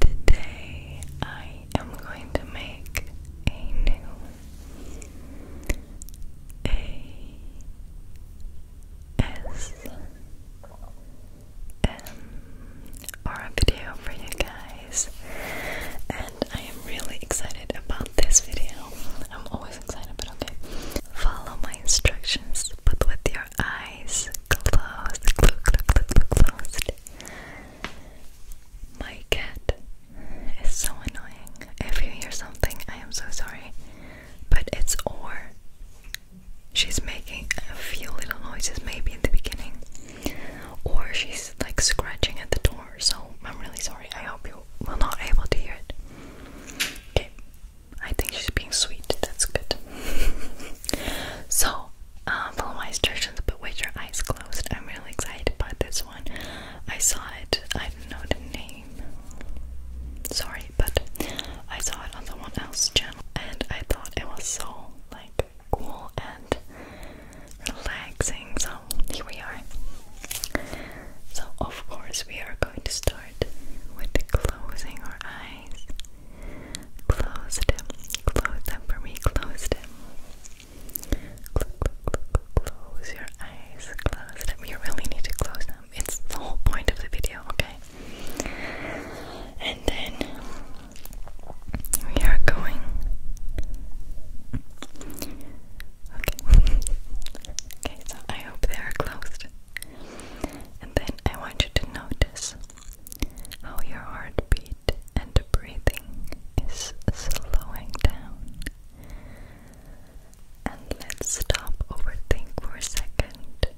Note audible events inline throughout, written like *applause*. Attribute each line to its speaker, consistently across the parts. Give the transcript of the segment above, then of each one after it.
Speaker 1: Today I am going to make a new ASMR video for you guys and I am really excited about this video. I'm always excited but okay. Follow my instructions but with your eyes closed, close, closed. My cat is so annoying. If you hear something, I am so sorry. But it's or. She's making a few little noises, maybe in the beginning. Or she's like scratching at the door, so I'm really sorry. I hope you will not able to hear it. Okay. I think she's being sweet. That's good. *laughs* So, um, follow my instructions, but with your eyes closed. I'm really excited about this one. I saw it. I don't know the name. Sorry, but I saw it on someone else's channel, and I thought it was so like cool and relaxing. So here we are. So of course we are going to start with closing our eyes. Closed him. Close them for me. Close him. Cl close your eyes. Close them. You really need to close them. It's the whole point of the video, okay? And then we are going. Okay. *laughs* okay, so I hope they are closed. And then I want you to notice how your heartbeat and breathing is slowing down. And let's stop overthink for a second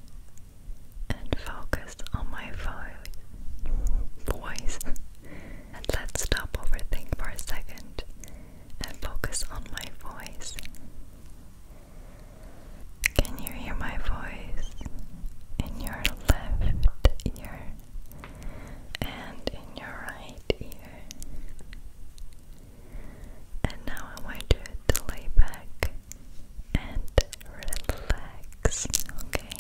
Speaker 1: and focus on my voice. and let's stop overthink for a second and focus on my voice. Can you hear my voice in your left ear and in your right ear? And now I want you to lay back and relax, okay?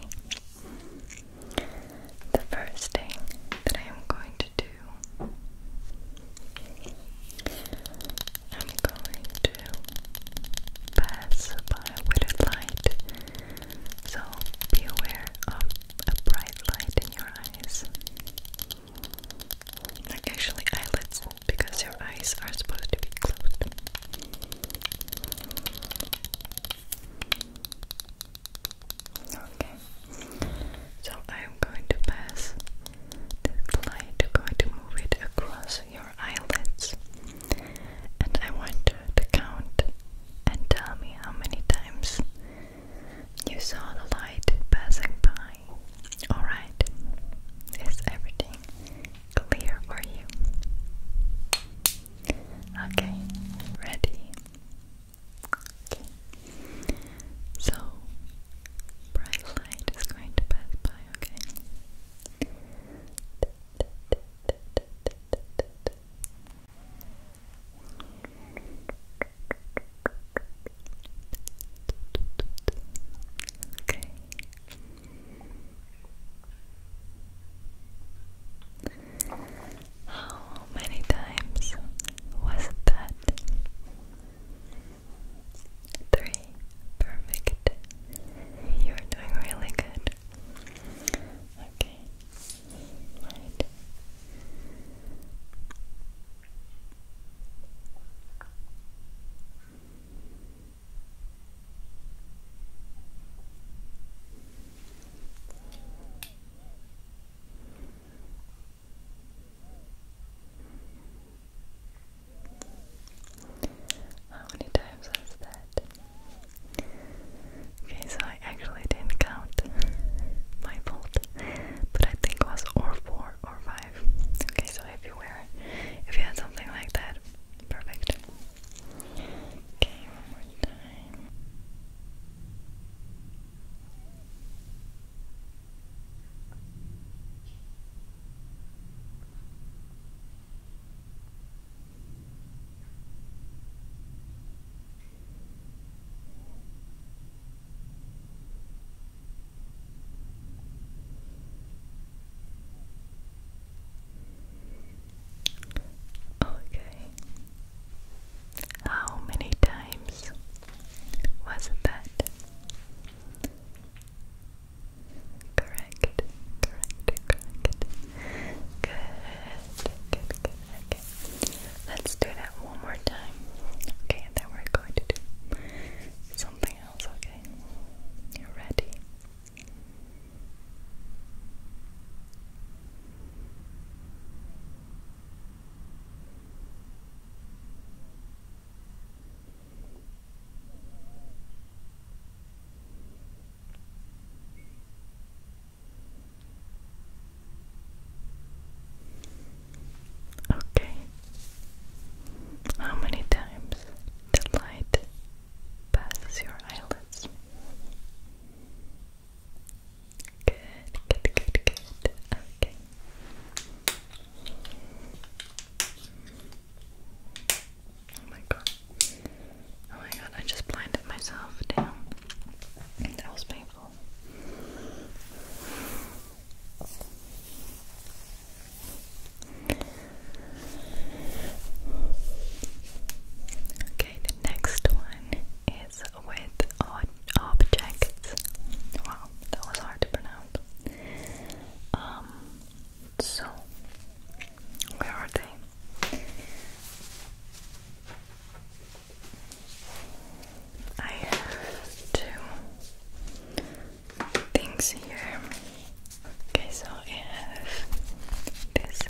Speaker 1: The first thing that I am going to do, I'm going to pass by a a light, so be aware of a bright light in your eyes. Like actually eyelids, because your eyes are supposed to be closed. Okay, so I'm going to pass the light, I'm going to move it across eyelids. And I want you to count and tell me how many times you saw the light passing by. Alright, is everything clear for you? Okay, ready? So, bright light is going to pass by, okay? Okay. How many times was that? Three. Perfect. You're doing really good. Okay. Right. How many times was that? Okay, so I actually didn't count. *laughs* My fault. But I think it was or four or five. Okay, so if you were, if you had something like that, perfect. Okay, one more time. Okay. How many times was that? Correct, correct, correct. Good, good, good. Okay. Let's do that one more time. Okay, and then we're going to do something else, okay? You ready? Good. Okay. How many times the light passes your eyelids? Good, good, good, good. Okay. Oh my god. Oh my god, I just blinded myself. Damn. That was painful. Okay, the next one is with odd objects. Wow, that was hard to pronounce. Um, so, where are they? I have two things here. Okay, so I have this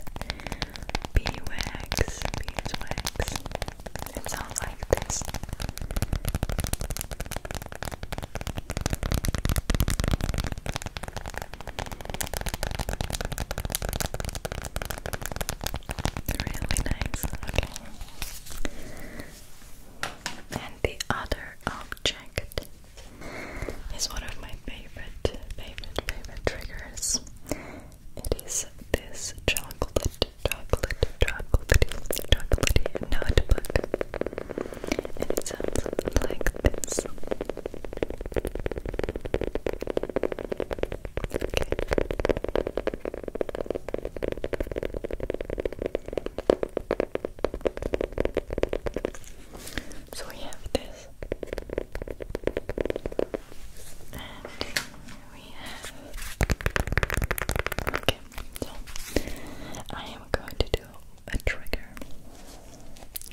Speaker 1: beeswax, beeswax. It sounds like this. Really nice. Okay. And the other object is one of my favorite, favorite, favorite triggers. It is this chocolate, chocolate, chocolatey, chocolatey notebook and it sounds like this. Okay. So we have this, and we have. Okay, so I am going to do a trigger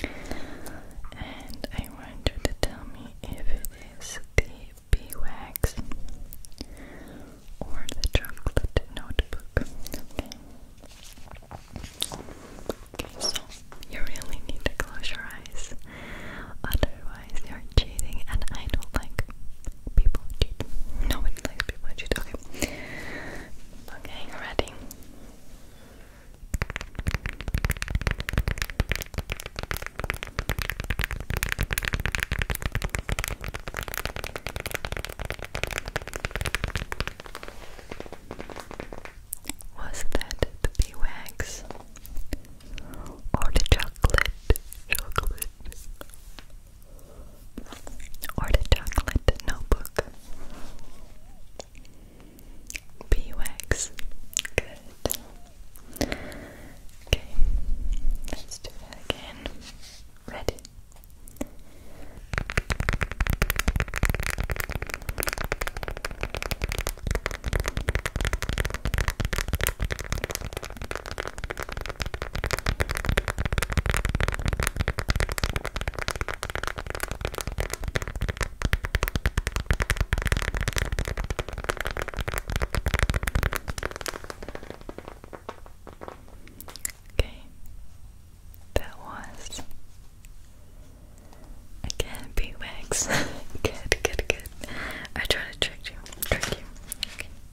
Speaker 1: and I want you to tell me if it is the beeswax or the chocolate notebook. Okay. Okay, so you really need to close your eyes. Otherwise you're cheating and I don't like people cheat. No one likes people cheat. Okay, ready. Was that the beeswax or the chocolate? Chocolate or the chocolate notebook. Beeswax. Good. Okay, let's do that again. Ready? Okay, that was again beatwax. *laughs* good, good, good. I tried to trick you, trick you. Okay.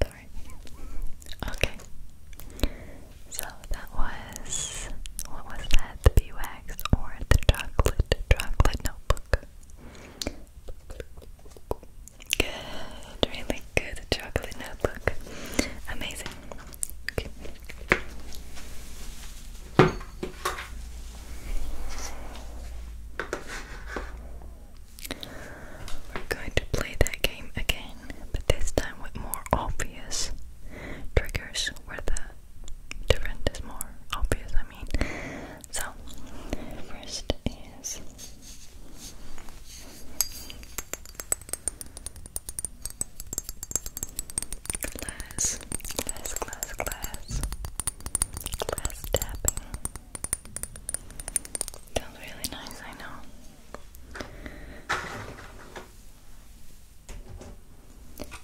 Speaker 1: Sorry. Okay. So that was what was that? The bee or the chocolate chocolate notebook? Good, really good chocolate notebook. Amazing. We're going to play that game again, but this time with more obvious triggers where the different is more obvious, I mean. So, first is. let Glass, glass, glass. Glass tapping. Sounds really nice, I know.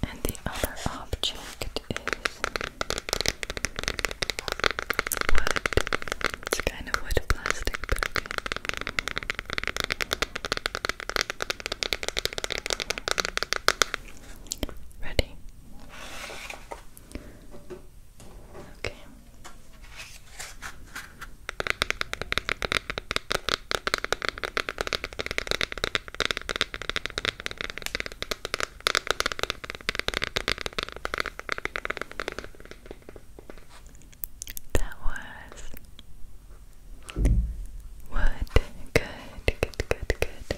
Speaker 1: And the other object is wood. It's kind of wood plastic, but okay. Ready? Okay. That was wood. Good, good, good, good.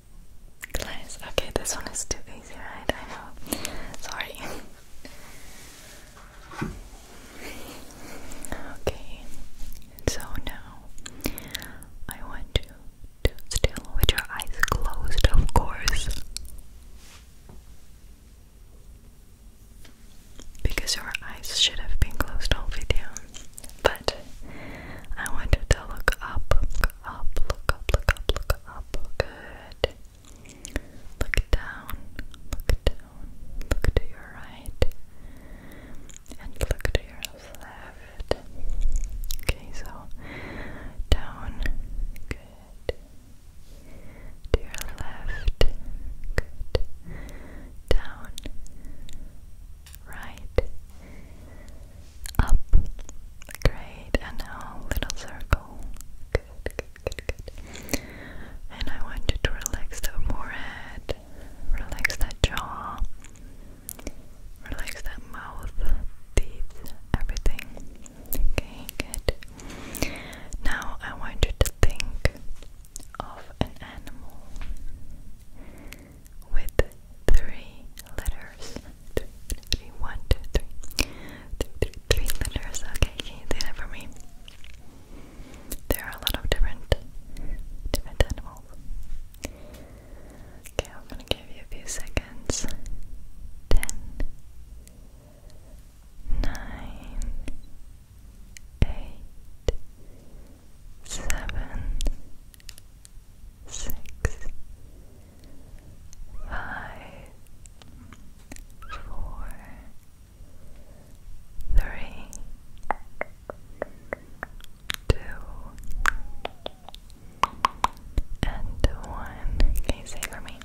Speaker 1: Okay, this one is too easy, right? I know. Sorry. *laughs* okay, so now I want you to still with your eyes closed, of course. Because your eyes should have been closed all video. But I want you to look up, up, look up, look up, look up. Good. Look down, look down, look to your right, and look to your left. Okay, so down, good. To your left, good. Down, right, up. Great. And a little circle. Good, good, good, good. And I want you to relax the forehead. Relax that jaw. Relax that mouth, teeth, everything. Okay, good. Now I want you to think of an animal with three letters letters. Three, three, one, two, Okay, do that for me? There are a lot of different, different animals. Okay, I'm gonna give you a few seconds. Ten, nine, eight, seven, six, five, four, three, two, and one. Can you say for me?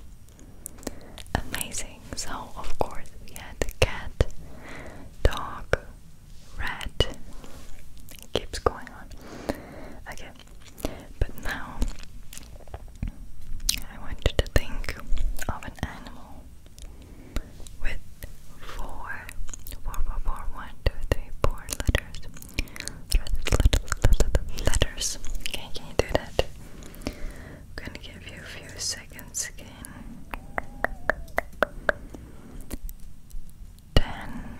Speaker 1: Amazing. So of course we had cat, dog, rat. keeps going on. Okay. But now I want you to think of an animal with four, four, four, four, one, two, three, four letters. Letters. Okay, can you do that? I'm gonna give you a few seconds again ten,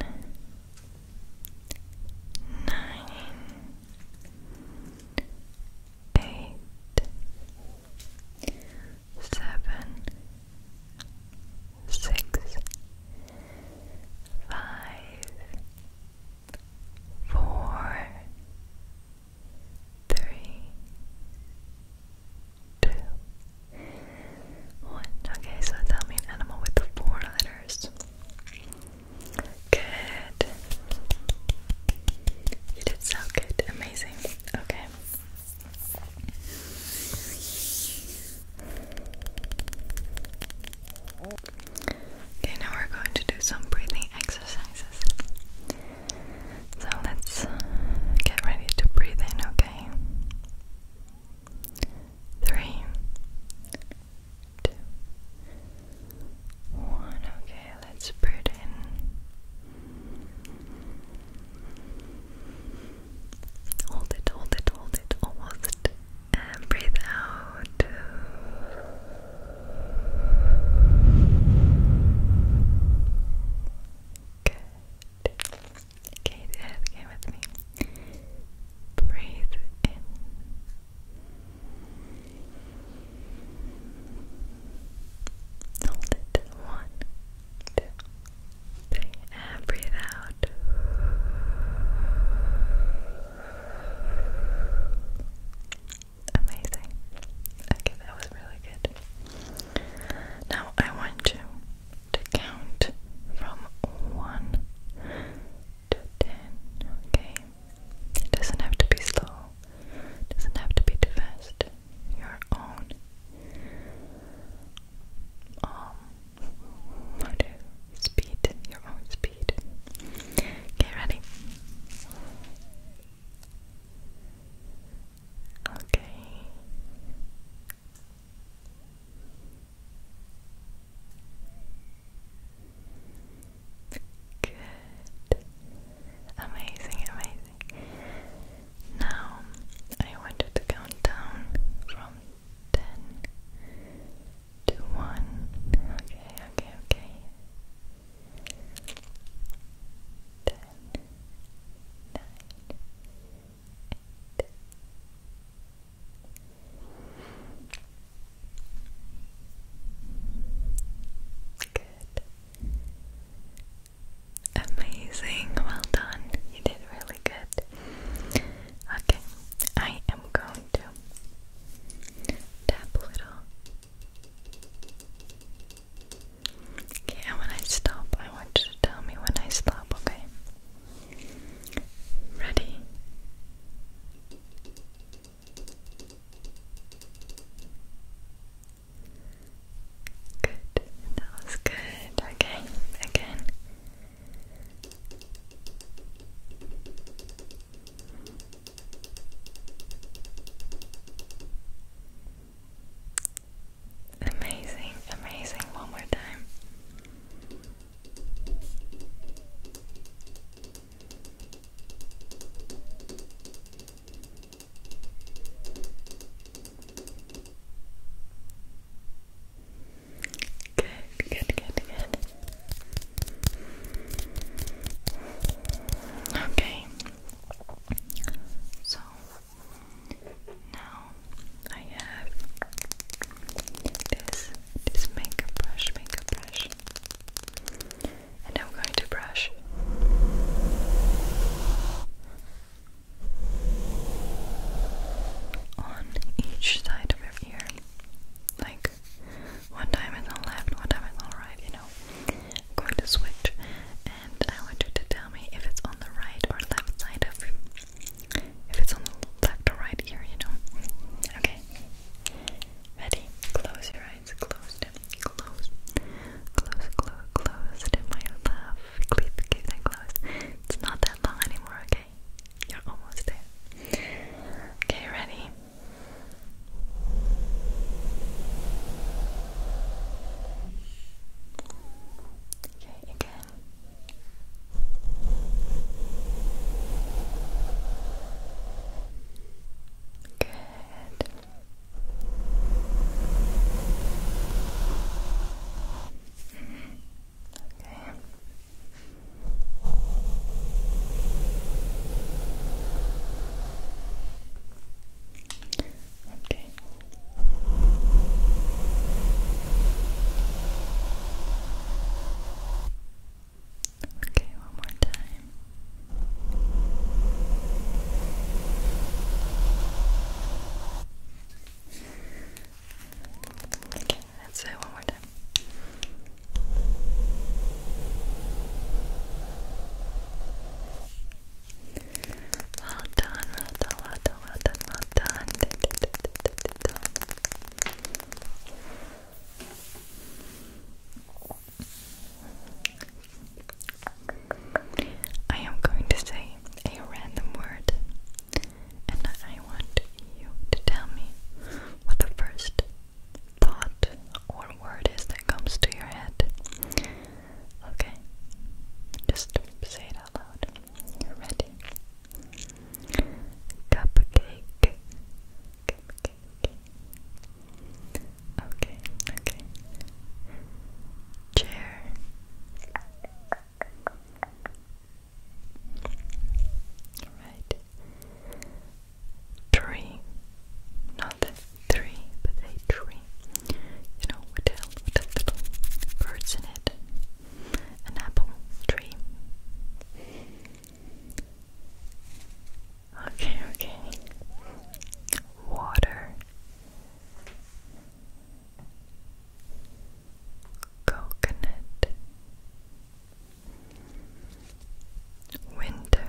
Speaker 1: nine, eight, seven, six, five, four, three, two, one. Okay, so tell me an animal with four letters. Good. You did so good. Amazing. Okay. Okay, now we're going to do some breathing exercises. So let's get ready to breathe in, okay? three, two, one. Okay, let's put in. Hold it, hold it, hold it, almost. breathe out. Good. Okay, do with me. Breathe in. Hold it. One, two, three, and breathe out. Amazing. Okay, that was really good. Now I want you to count from one to 10, okay? It doesn't have to be slow, it doesn't have to be too fast. Your own, um, how to speed, your own speed. Okay, ready? Okay. Good. Amazing, amazing. Now I want you to count down from ten to one. Okay, okay, okay. Ten, nine, eight, Good. Amazing. Well done. You did really good. Okay, I am going to tap a little. Okay, and when I stop, I want you to tell me when I stop, okay? Ready? Good. That was good. Okay, again. Amazing, amazing. One more time. Good, good, good, good. Okay. So now I have this this makeup brush, makeup brush, and I'm going to brush. On each side of your ear, like one time on the left, one time on the right. You know, I'm going to switch, and I want you to tell me if it's on the right or left side of if it's on the left or right ear, you know. Okay. Ready? Close your eyes. Closed. Close. Close, close, closed. My love. Keep, keep them closed. It's not that long anymore, okay? You're almost there. Okay, ready? Okay, again. Good. Okay. Okay. Okay, one more time. Okay, let's do one more time. well done, well done, well done, well done. I am going to say a random word, and I want you to tell me what the first thought or word is that comes to your head. Okay, just say it out loud. you ready. Cupcake. Okay, okay. Chair. Right. Tree. Not three, but a tree. You know, with little birds in it an apple tree. Okay, okay. Water. Coconut. Winter.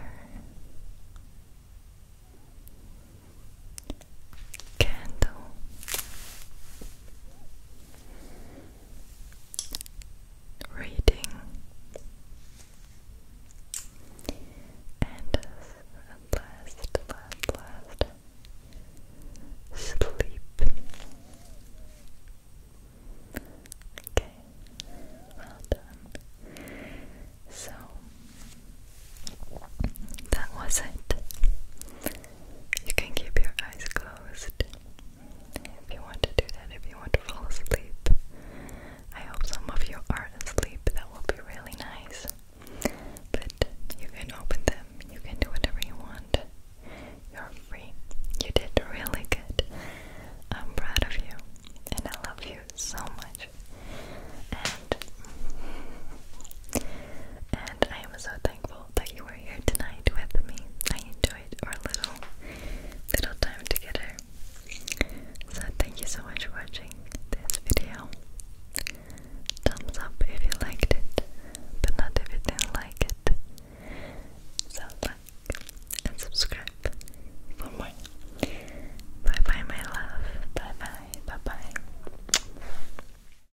Speaker 1: Candle reading and at last, last, last sleep. Okay, well done. So that was it. You can keep your eyes closed if you want to do that, if you want to fall asleep. I hope some of you are asleep, that will be really nice. But you can open them, you can do whatever you want. You're free. You did really good. I'm proud of you, and I love you so much. And and I am so thankful that you were here tonight with me. I enjoyed our little little time together. So thank you so much for watching this video. Thumbs up if you liked it, but not if you didn't like it. So like and subscribe for more. Bye bye my love. Bye bye. Bye bye.